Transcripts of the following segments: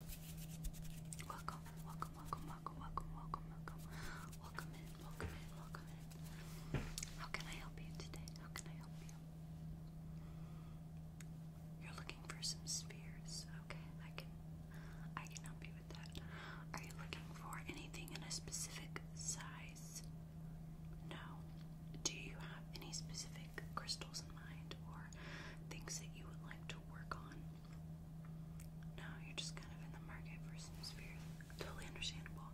Welcome, welcome, welcome, welcome, welcome, welcome, welcome. Welcome in, welcome in, welcome in. How can I help you today? How can I help you? You're looking for some spheres. Okay, I can I can help you with that. Are you looking for anything in a specific size? No. Do you have any specific crystals in mind or things that you would like to work on? No, you're just kind of in the market for some spirit. Totally understandable.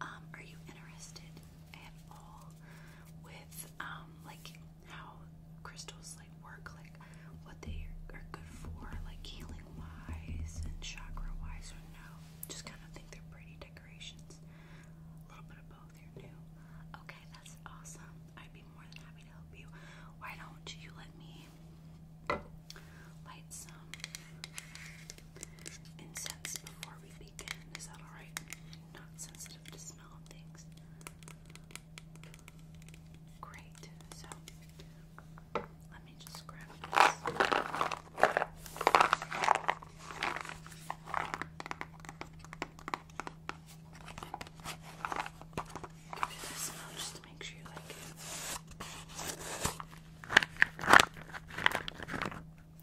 Um, are you interested at all with um like how crystals like work, like what they are good for, like healing wise and chakra wise or no? Just kind of think they're pretty decorations. A little bit of both, you're new. Okay, that's awesome. I'd be more than happy why don't you let me light some incense before we begin? Is that alright? Not sensitive to smell things. Great. So let me just grab this it.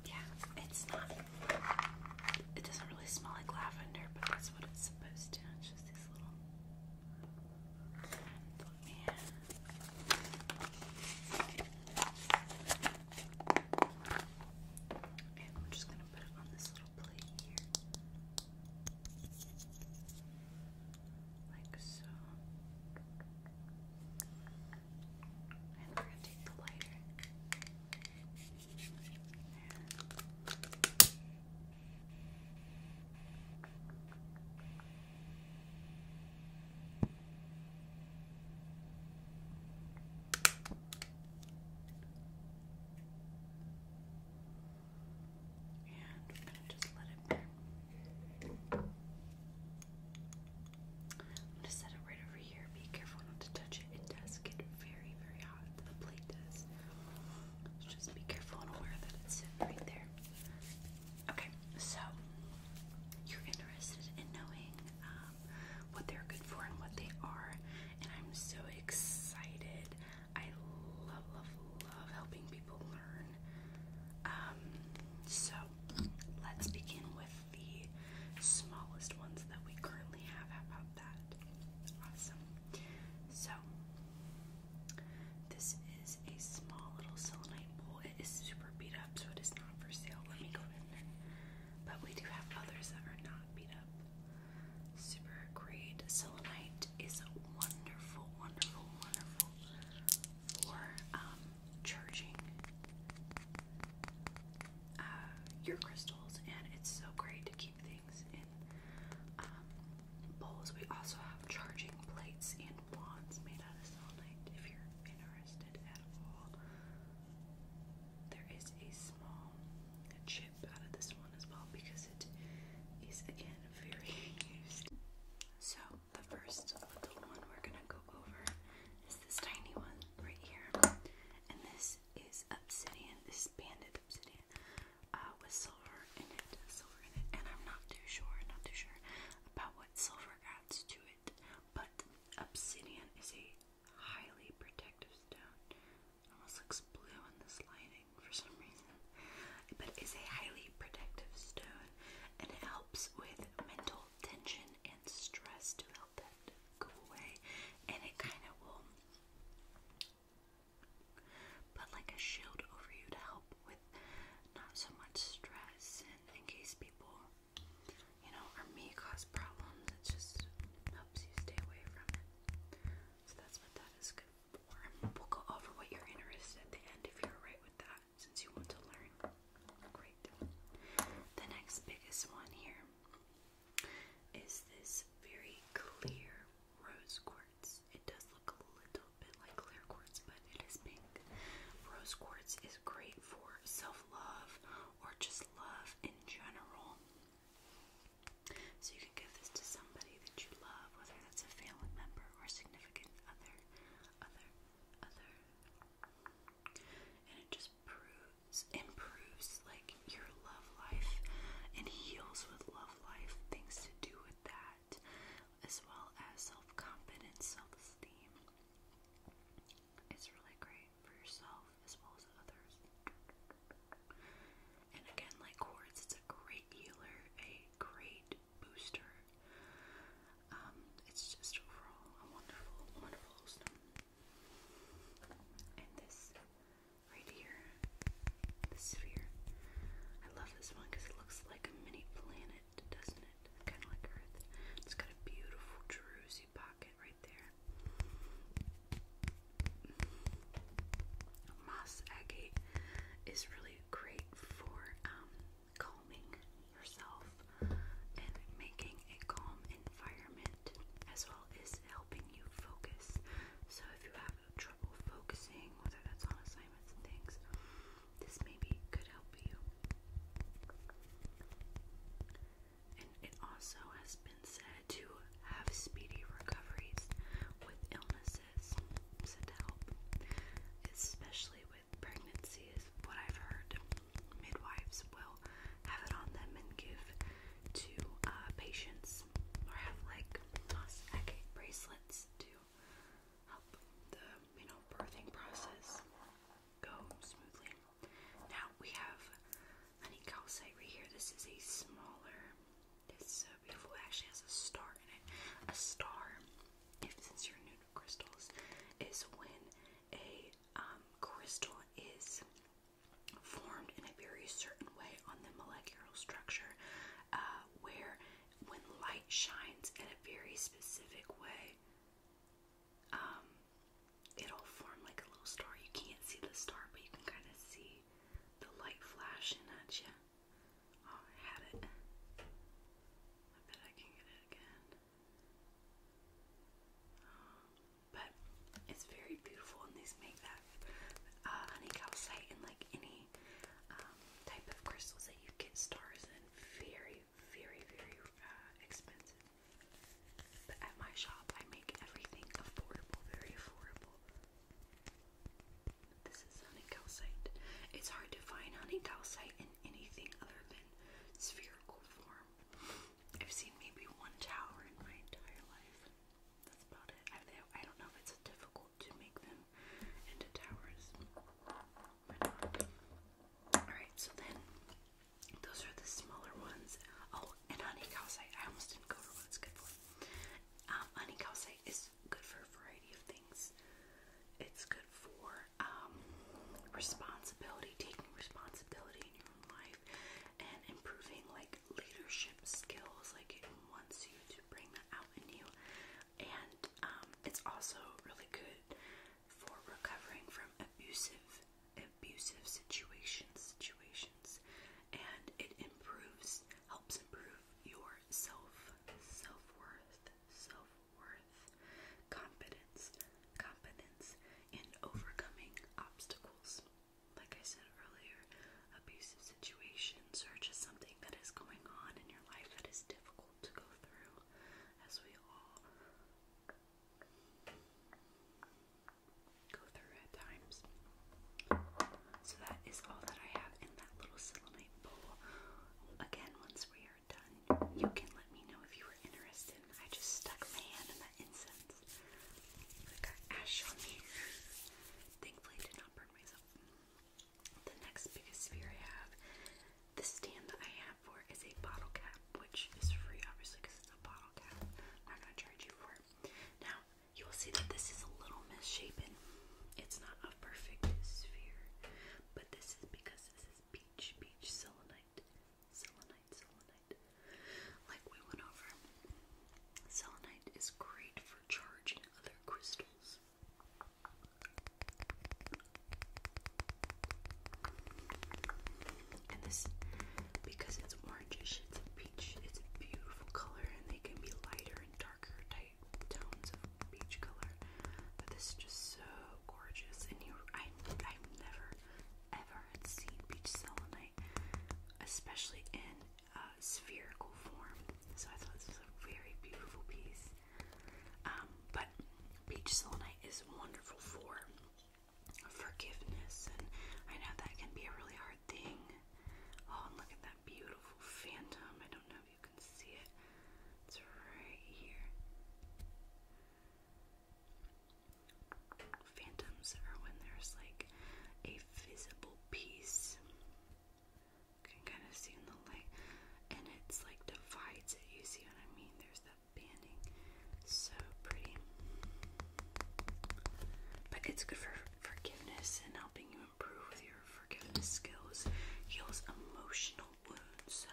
Yeah, it's not. It doesn't really smell like lavender, but that's what it's supposed to. It's And I'm just gonna put it on this little plate here. Like so. And we're going to take the lighter. And we're going to just let it burn. I'm going to set it right over here. Be careful not to touch it. It does get very, very hot. The plate does. just be careful and aware that it's right there. Okay, so you're interested in knowing um, what they're good for and what they are, and I'm so excited I love, love, love helping people learn. Um, so let's begin with the smallest ones that we currently have. about that? Awesome. So this is a small little selenite bowl. It is super beat up, so it is not for sale. Let me go in. But we do have others that are not beat up. Super great. Selenite is wonderful, wonderful, wonderful for um, charging uh, your crystals, and it's so great to keep things in um, bowls. We also have charging plates and wands made out of selenite if you're interested at all. There is a small chip out of this one as well because it is again very used. So the first little one we're gonna go over is this tiny one right here, and this is obsidian. This banded obsidian uh, with silver in it, silver in it, and I'm not too sure, not too sure about what silver adds to it, but obsidian is a highly protective stone. almost looks blue in this lighting for some reason. But it's a highly protective stone and it helps with mental tension and stress to help that go away. And it kind of will put like a shield over you to help with not so much stress and in case people, you know, or me cause problems. It just helps you stay away from it. So that's what that is good for. We'll go over what you're interested at the end if you're right with that, since you want to learn. Great. The next biggest one here is this very clear rose quartz. It does look a little bit like clear quartz, but it is pink. Rose quartz is great for self love or just love in general. So you can give this to somebody that you love, whether that's a family member or significant other, other, other. And it just proves, improves like your love life and heals with love life, things to do with that, as well as self confidence, self esteem. It's really great for yourself as well as others. And again, like quartz, it's a great healer, a great booster. Um, it's just overall a wonderful, wonderful stone. And this right here, the sphere. I love this one because it looks like a mini planet, doesn't it? Kind of like Earth. It's got a beautiful druzy matching Moss agate is really great for um, calming yourself and making a calm environment as well as helping you focus. So if you have trouble focusing, whether that's on assignments and things, this maybe could help you and it also has been said to have speedy recoveries with illnesses, said to help, especially with pregnancies. what I've heard. Midwives will have it on them and give to uh, patients, or have like agate bracelets to help the you know birthing process go smoothly. Now we have honey calcite right here. This is a smaller, it's so uh, beautiful. It actually has a star in it. A star, if since you're new to crystals, is when a um, crystal is formed in a very certain way on the molecular structure, uh, where when light shines in a very specific way, um, it'll form like a little star. You can't see the star, but you can kind of see the light flashing at you. Oh, had it. I bet I can get it again. but it's very beautiful, and these make that uh, honey calcite and like any um, type of crystals that you get stars in very, very, very uh, expensive. But at my shop, I make everything affordable, very affordable. This is honey It's hard to find honey in anything other than spherical form. I've seen maybe one tower in my entire life. That's about it. I, don't know if it's difficult to make them into towers. Alright, so then those are the smaller ones. Oh, and honey calcite. I almost didn't go over what it's good for. Um, honey calcite is good for a variety of things. It's good for um, responsibility, taking responsibility in your own life, and improving like leadership skills. Like it wants you to bring that out in you, and um, it's also really good for recovering from abusive abusive situations, situations, and it improves, helps improve your self, self-worth, self-worth, competence, competence in overcoming obstacles. Like I said earlier, abusive situations are just something that is going on in your life that is difficult to go through as we all go through at times. So that is all that I have in that little selenite bowl. Again, once we are done, you can let me know if you were interested. I just stuck my hand in that incense. I got ash on me. Thankfully, did not burn myself. The next biggest sphere I have, the stand that I have for is a bottle cap which is free obviously because it's a bottle cap. I'm not going you for it. Now you will see that this is a little misshapen. It's not a perfect sphere, but this is because this is peach, peach selenite, selenite, selenite. Like we went over, selenite is great for charging other crystals. And this, because it's orangeish, it's a peach, it's a beautiful color, and they can be lighter and darker type tones of peach color. But this is just so gorgeous, and you, I, I've never, ever seen peach selenite, especially in uh, spherical form. So I thought this was a very beautiful piece. Um, but peach selenite is wonderful for forgiveness, and I know that can be a really hard thing. Oh, look at that beautiful phantom. I don't know if you can see it, it's right here. Phantoms are when there's like a visible piece. You can kind of see in the light, and it's like divides it. You see what I mean? There's that banding. So pretty. But it's good for forgiveness and helping you improve with your forgiveness skills. Heals emotional wounds. So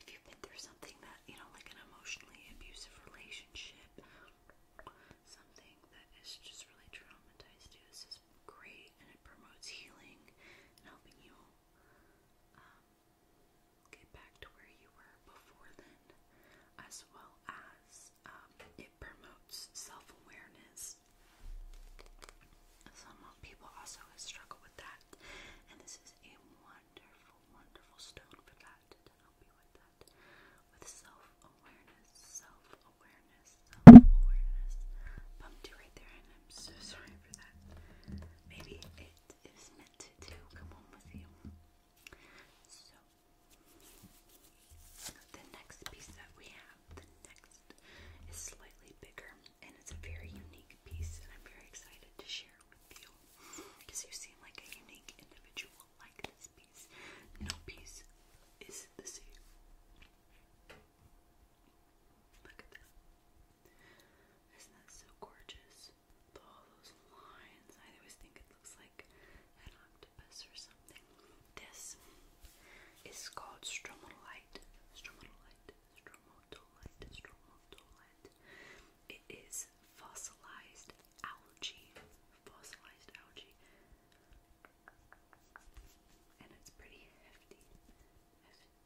if you've been through something that, you know, like an emotionally abusive relationship, something that is just really traumatized you, this is great and it promotes healing and helping you um, get back to where you were before then, as well as um, it promotes self awareness. Some people also struggle with that, and this is a wonderful, wonderful stone for that to help self awareness, self awareness, self awareness. Bumped you right there, and I'm so sorry for that. Maybe it is meant to come home with you. So, the next piece that we have, the next, is slightly bigger and it's a very unique piece, and I'm very excited to share with you because you seem like a unique individual like this piece. No piece is the same. Look at that. Isn't that so gorgeous? all those lines. I always think it looks like an octopus or something. This is called stromatolite. Stromatolite. Stromatolite. Stromatolite. It is fossilized algae. Fossilized algae. And it's pretty hefty.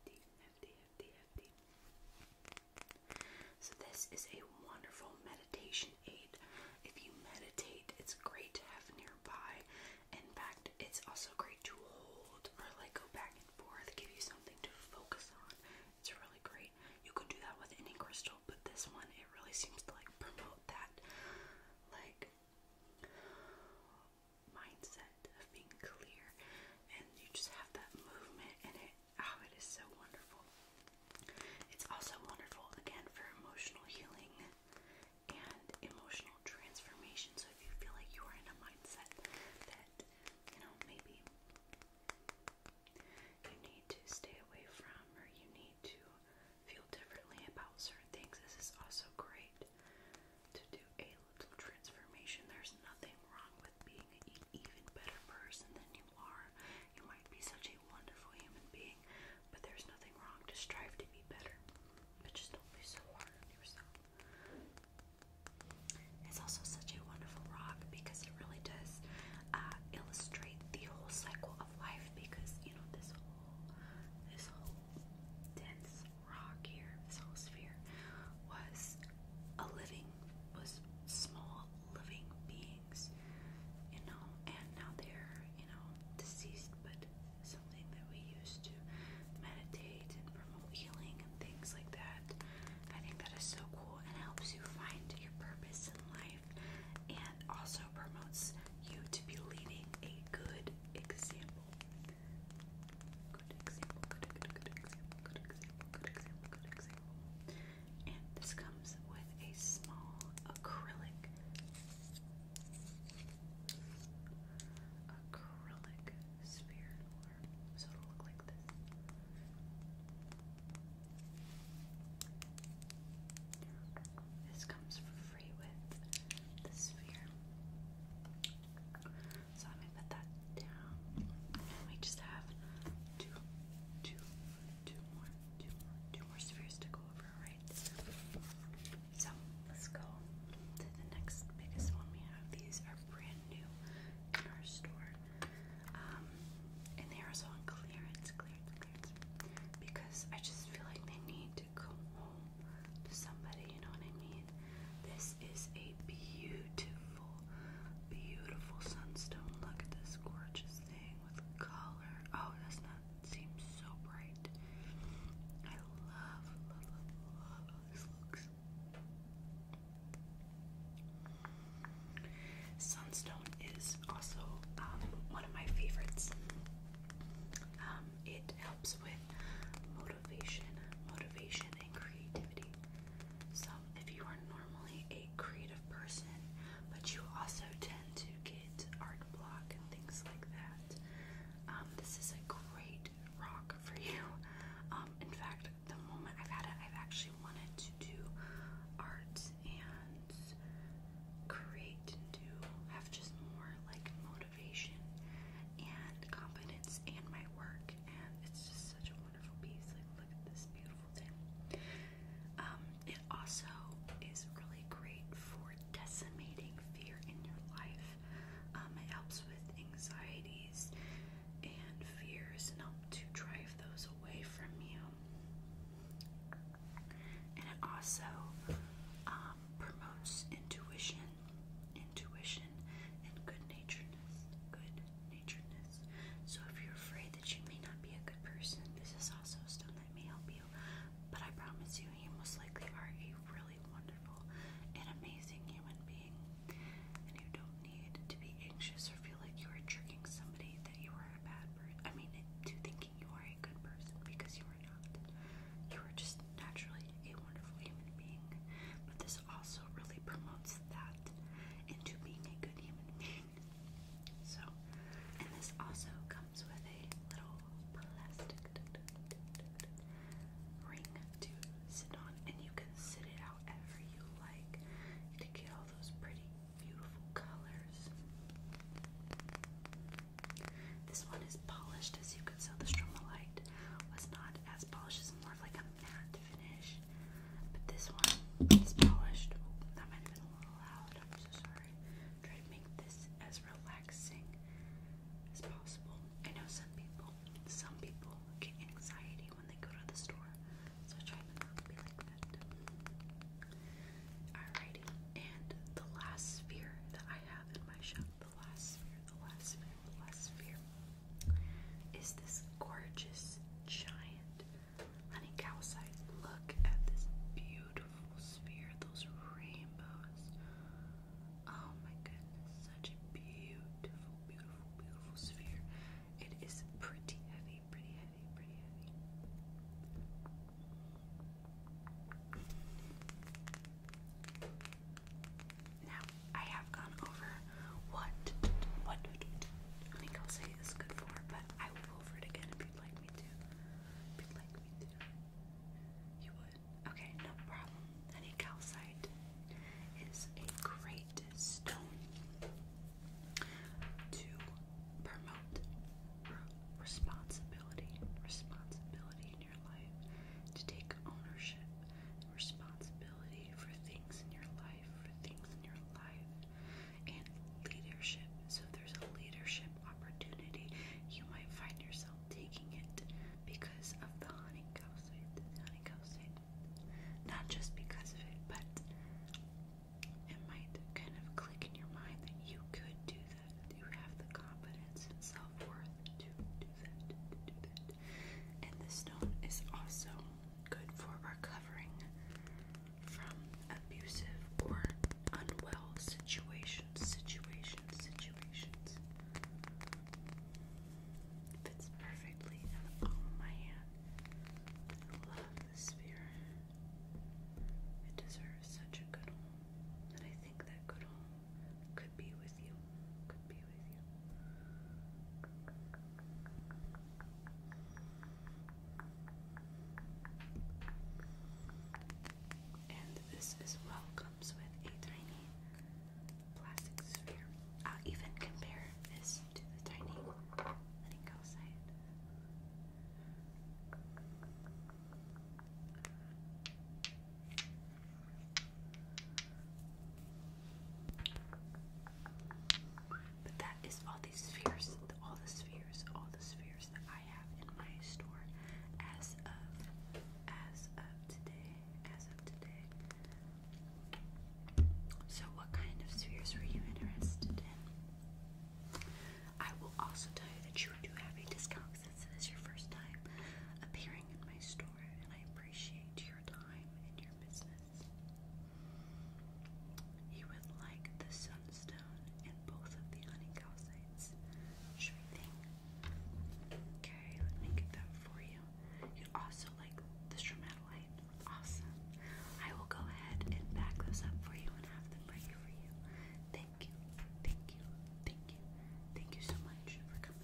Hefty, hefty, hefty, hefty. So, this is a wonderful meditation aid. If you meditate, it's great to have nearby. In fact, it's also great to hold or like go back and forth, give you something to focus on. It's really great. You can do that with any crystal, but this one, it really seems to like promote that like mindset of being clear and you just have that movement and it Oh, it is so wonderful. It's also wonderful again for emotional healing and emotional transformation. So if you feel like you are in a mindset that, you know, maybe you need to stay away from or you need to feel differently about certain things, this is also great to do a little transformation. There's nothing wrong with being even better person than you are you might be such a wonderful human being, but there's nothing wrong to strive to be better. But just don't be so hard on yourself. It's also such a wonderful rock because it really does uh, illustrate the whole cycle of life. Because you know this whole, this whole dense rock here, this whole sphere, was a living, was small living beings, you know, and now they're, you know, deceased, but something that we use to meditate and promote healing and things like that. I think that is so cool and helps you find your purpose in life and also promotes you to be leading a good example. good example and this comes with a small acrylic acrylic sphere so it'll look like this. This comes for free with the sphere. So let me put that down. we just have two, two, two more, two more, two more spheres to go over, right? So let's go to the next biggest one we have. These are brand new in our store. Um, and they are on clearance, clearance, clearance. Because I just feel like they need to come home to somebody, you know what I mean? This is a beautiful beautiful, beautiful sunstone. Look at this gorgeous thing with color. Oh, that's not seems so bright. I love, love, love, love how this looks. Sunstone is also um, one of my favorites. Um, it helps with motivation, motivation and creativity. So um, if you are normally a creative person, but you also tend to get art block and things like that, um, this is a great rock for you. Um, in fact, the moment I've had it, I've actually wanted to do art and create and do have just more like motivation and confidence in my work, and it's just such a um, it also is really great for decimating fear in your life. Um, it helps with anxieties and fears and helps to drive those away from you. And it also um, promotes intuition, intuition, and good naturedness. Good naturedness. So if you're afraid that you may not be a good person, this is also a stone that may help you. But I promise you, you most likely are a really wonderful and amazing human being. And you don't need to be anxious or feel like you are tricking somebody that you are a bad person. I mean, to thinking you are a good person because you are not. You are just naturally a wonderful human being. But this also really promotes that into being a good human being. So, and this also comes with a little plastic ring to sit on, and you can sit it however you like to get all those pretty, beautiful colors. This one is polished, as you can tell. The Stromalite was not as polished; it's more like a matte finish. But this one is polished. Oh, that might have been a little loud. I'm so sorry. Try to make this as relaxing as possible. I know some people, some people get anxiety when they go to the store. So I try to not be like that. Alrighty, and the last sphere that I have in my shop, the last sphere, the last sphere, the last sphere is this gorgeous giant honey cow Look at this beautiful sphere, those rainbows. Oh my goodness, such a beautiful, beautiful, beautiful sphere. It is pretty heavy, pretty heavy, pretty heavy. Now, I have gone over what what I think I'll say this is good for, but I will go over it again if you'd like me to. you'd Okay, no problem. Any calcite is a great stone to promote responsibility. Responsibility in your life. To take ownership responsibility for things in your life life, for things in your life, and leadership. So if there's a leadership opportunity, you might find yourself taking it because of the honeycomb site. Honeycomb site. Not just because of it, but it might kind of click in your mind that you could do that. You have the confidence and self worth to do that. To do that. And the stone is also good for recovering from abusive or unwell situations, situations, situations. Fits perfectly in the palm of my hand. love this sphere. It deserves such a good home. And I think that good home could be with you. And this as well comes with a tiny plastic sphere. I'll even compare this to the tiny letting go side. But that is all these spheres, all the spheres, all the spheres that I have in my store as of as of today, as of today. So what kind of spheres were you interested in? I will also tell you that you do have a discount since this is your first time appearing in my store and I appreciate your time and your business. He would like the sunstone and both of the uningosites. Sure thing. Okay, let me get that for you. you also like the stromatolite. Awesome. I will go ahead and pack those up for you and have them ready for you. Thank you. Thank you. Thank you. Thank you so much for coming.